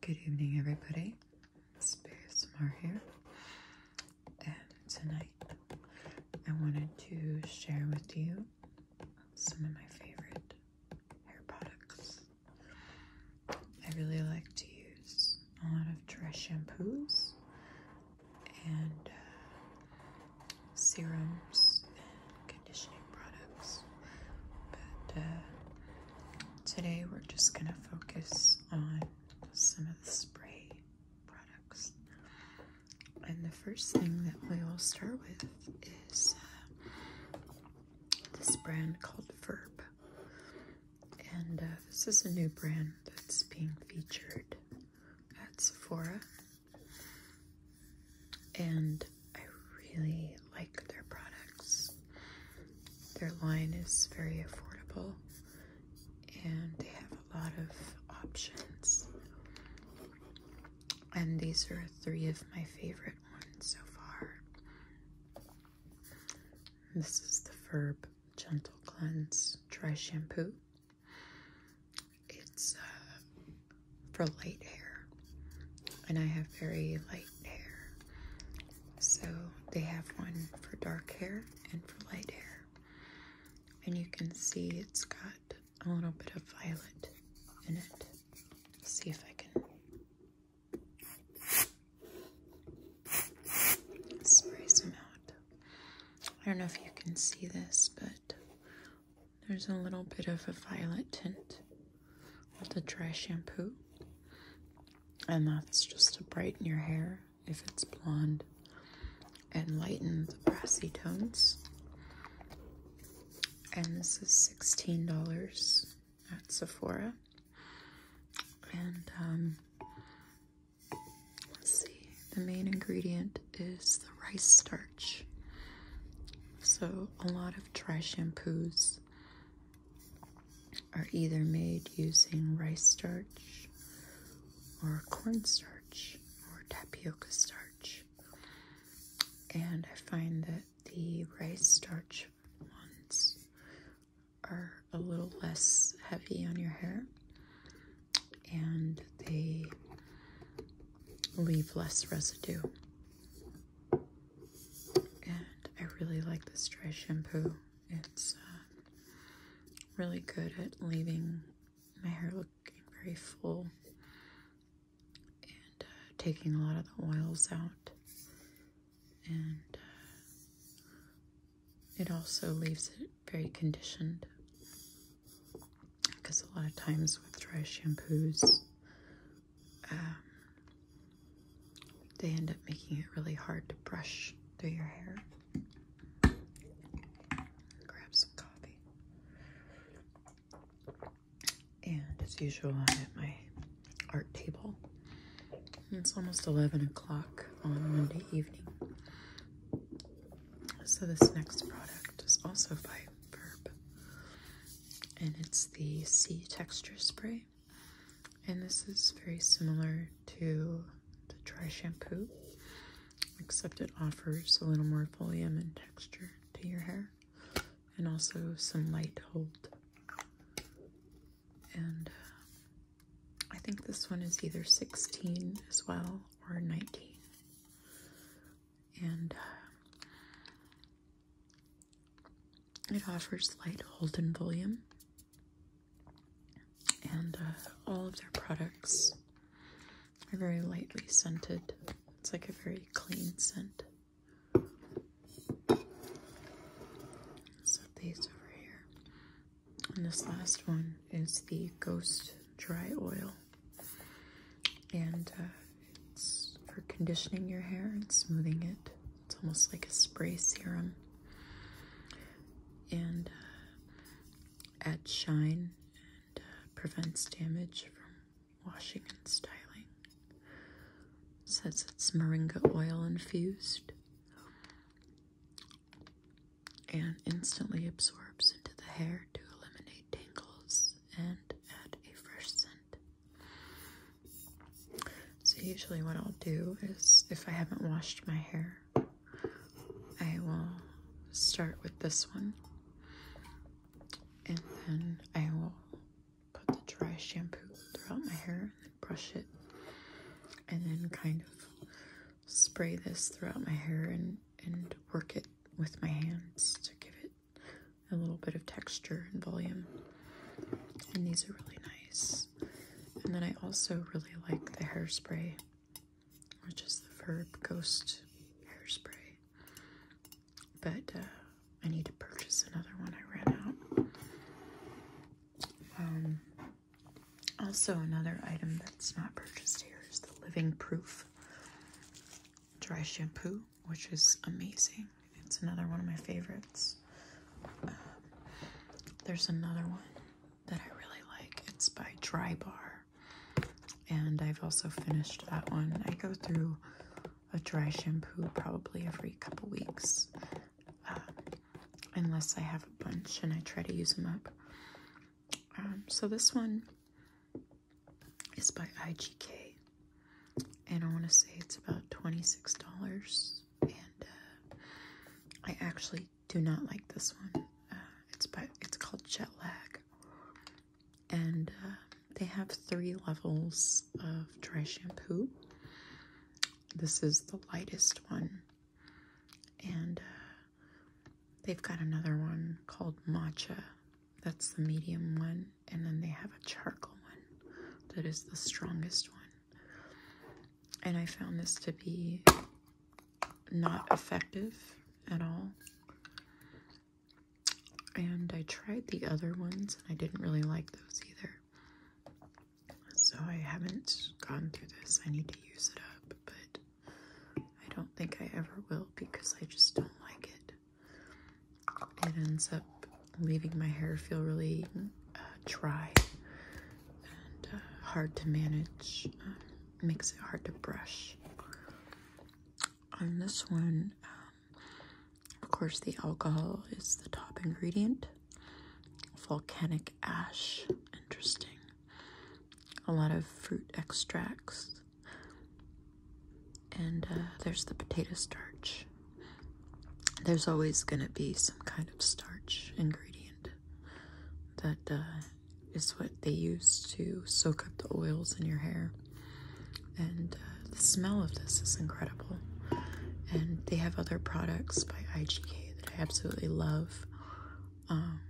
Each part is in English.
Good evening, everybody. It's Smart here, and tonight I wanted to share with you some of my favorite hair products. I really like to use a lot of dry shampoos and uh, serums conditioning products. But uh, today we're just going to focus on some of the spray products. And the first thing that we will start with is uh, this brand called Verb. And uh, this is a new brand that's being featured at Sephora. And I really like their products. Their line is very affordable and they have a lot of options. And these are three of my favorite ones so far. This is the Verb Gentle Cleanse Dry Shampoo. It's uh, for light hair. And I have very light hair. So they have one for dark hair and for light hair. And you can see it's got a little bit of violet in it. see if I can spray some out. I don't know if you can see this, but there's a little bit of a violet tint with the dry shampoo. And that's just to brighten your hair if it's blonde and lighten the brassy tones. And this is $16 at Sephora. And um, let's see, the main ingredient is the rice starch. So a lot of dry shampoos are either made using rice starch or cornstarch or tapioca starch. And I find that the rice starch ones are a little less heavy on your hair and they leave less residue. And I really like this dry shampoo. It's uh, really good at leaving my hair looking very full and uh, taking a lot of the oils out. And uh, it also leaves it very conditioned because a lot of times with dry shampoos, um, they end up making it really hard to brush through your hair. Grab some coffee. And as usual, I'm at my art table. It's almost 11 o'clock on Monday evening. So this next product is also by Verb and it's the C Texture Spray. And this is very similar to the dry shampoo, except it offers a little more volume and texture to your hair, and also some light hold. And uh, I think this one is either 16 as well or 19. And uh, it offers light hold and volume, uh, and all of their products are very lightly scented. It's like a very clean scent. So these over here. And this last one is the Ghost Dry Oil. And uh, it's for conditioning your hair and smoothing it. It's almost like a spray serum. And uh, adds shine and uh, prevents damage from washing and styling. says it's moringa oil infused and instantly absorbs into the hair to eliminate tangles and add a fresh scent. So usually what I'll do is if I haven't washed my hair, I will start with this one and then I will put the dry shampoo throughout my hair and brush it and then kind of spray this throughout my hair and, and work it with my hands to give it a little bit of texture and volume. And these are really nice. And then I also really like the hairspray, which is the Verb Ghost hairspray. But uh, I need to purchase another one. I ran out. Um, also, another item that's not purchased here is the Living Proof dry shampoo which is amazing. It's another one of my favorites. Um, there's another one that I really like. It's by Dry Bar. And I've also finished that one. I go through a dry shampoo probably every couple weeks. Um, unless I have a bunch and I try to use them up. Um, so this one is by IGK and I want to say it's about $26 and uh, I actually do not like this one uh, it's by it's called jet lag and uh, they have three levels of dry shampoo this is the lightest one and they've got another one called matcha that's the medium one and then they have a charcoal one that is the strongest one. And I found this to be not effective at all. And I tried the other ones and I didn't really like those either. So I haven't gone through this. I need to use it up, but I don't think I ever will because I just don't like it it ends up leaving my hair feel really uh, dry and uh, hard to manage uh, makes it hard to brush on this one um, of course the alcohol is the top ingredient volcanic ash interesting a lot of fruit extracts and uh, there's the potato starch. There's always going to be some kind of starch ingredient that uh, is what they use to soak up the oils in your hair. And uh, the smell of this is incredible. And they have other products by IGK that I absolutely love. Um,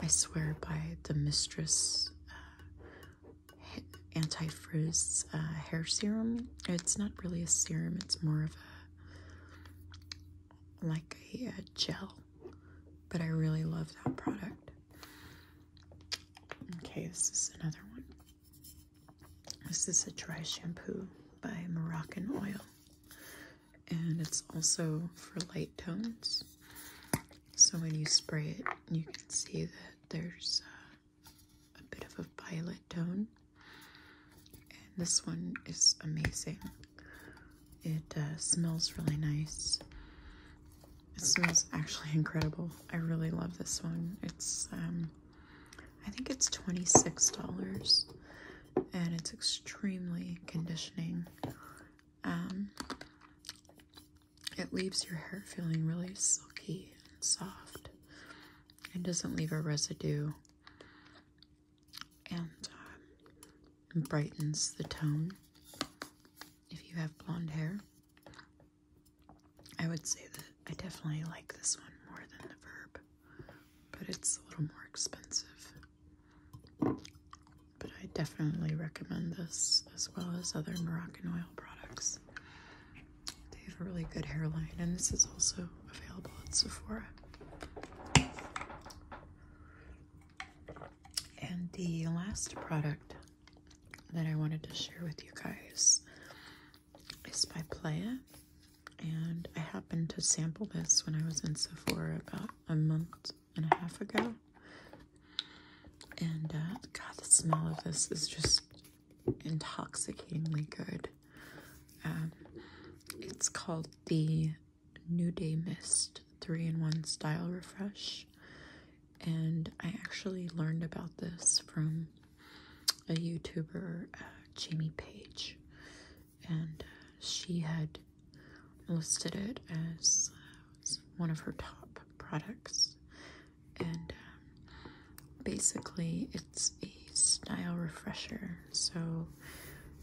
I swear by the Mistress anti-frizz uh, hair serum. It's not really a serum, it's more of a like a, gel, but I really love that product. Okay, this is another one. This is a dry shampoo by Moroccan Oil, and it's also for light tones. So when you spray it, you can see that there's uh, a bit of a violet tone. And this one is amazing. It uh, smells really nice. It smells actually incredible. I really love this one. It's, um, I think it's $26 and it's extremely conditioning. Um, it leaves your hair feeling really silky and soft and doesn't leave a residue and um, brightens the tone if you have blonde hair. I would say that I definitely like this one more than the verb, but it's a little more expensive. But I definitely recommend this as well as other Moroccan oil products. They have a really good hairline, and this is also available at Sephora. And the last product that I wanted to share with you guys is by Playa. And I happened to sample this when I was in Sephora about a month and a half ago. And uh, God, the smell of this is just intoxicatingly good. Um, it's called the New Day Mist 3 in 1 Style Refresh. And I actually learned about this from a YouTuber, uh, Jamie Page. And uh, she had listed it as uh, one of her top products and um, basically it's a style refresher. So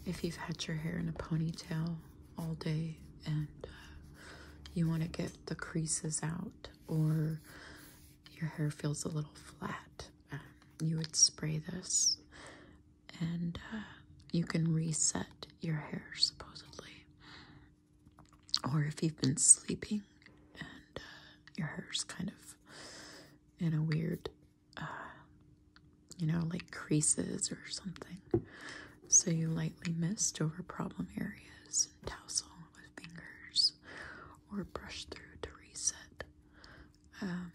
if you've had your hair in a ponytail all day and uh, you want to get the creases out or your hair feels a little flat, um, you would spray this and uh, you can reset your hair supposedly or if you've been sleeping and uh, your hair's kind of in a weird, uh, you know, like creases or something. So you lightly mist over problem areas and tousle with fingers or brush through to reset. Um,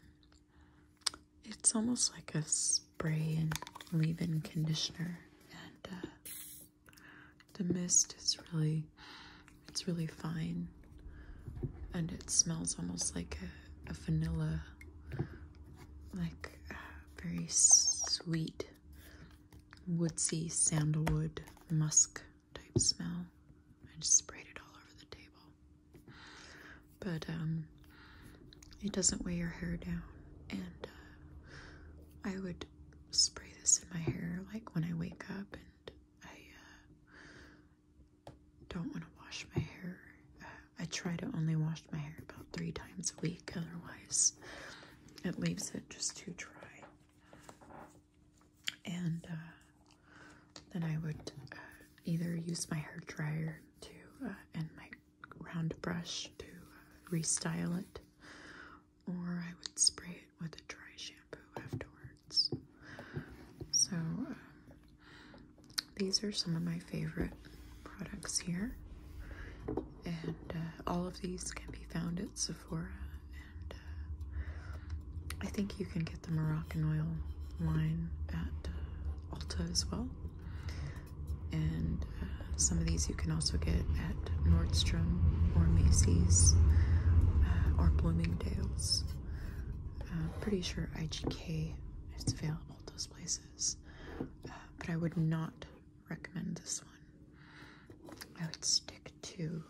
it's almost like a spray and leave in conditioner, and uh, the mist is really, it's really fine, and it smells almost like a, vanilla, like very sweet, woodsy sandalwood musk type smell. I just sprayed it all over the table, but um, it doesn't weigh your hair down, and uh, I would spray this in my hair like when I wake up and I uh, don't want to wash my hair. Uh, I try to only wash my hair about three times a week, otherwise, it leaves it just too dry. And uh, then I would either use my hair dryer to and my round brush to restyle it, or I would spray it with a dry shampoo afterwards. So, um, these are some of my favorite products here, and uh, all of these can be found at Sephora. And uh, I think you can get the Moroccan oil line at uh, Ulta as well. And uh, some of these you can also get at. Nordstrom or Macy's uh, or Bloomingdale's. Uh, pretty sure IGK is available at those places, uh, but I would not recommend this one. I would stick to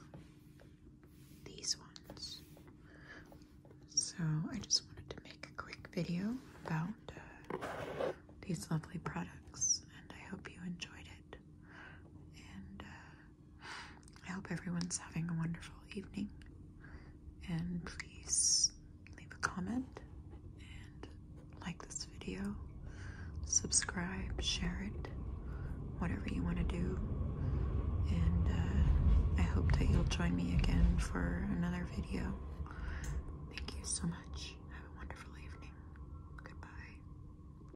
these ones. So I just wanted to make a quick video about these lovely products and I hope you enjoyed it. And I hope everyone's having a wonderful evening. And please leave a comment and like this video, subscribe, share it, whatever you want to do. And uh, I hope that you'll join me again for another video. Thank you so much. Have a wonderful evening. Goodbye.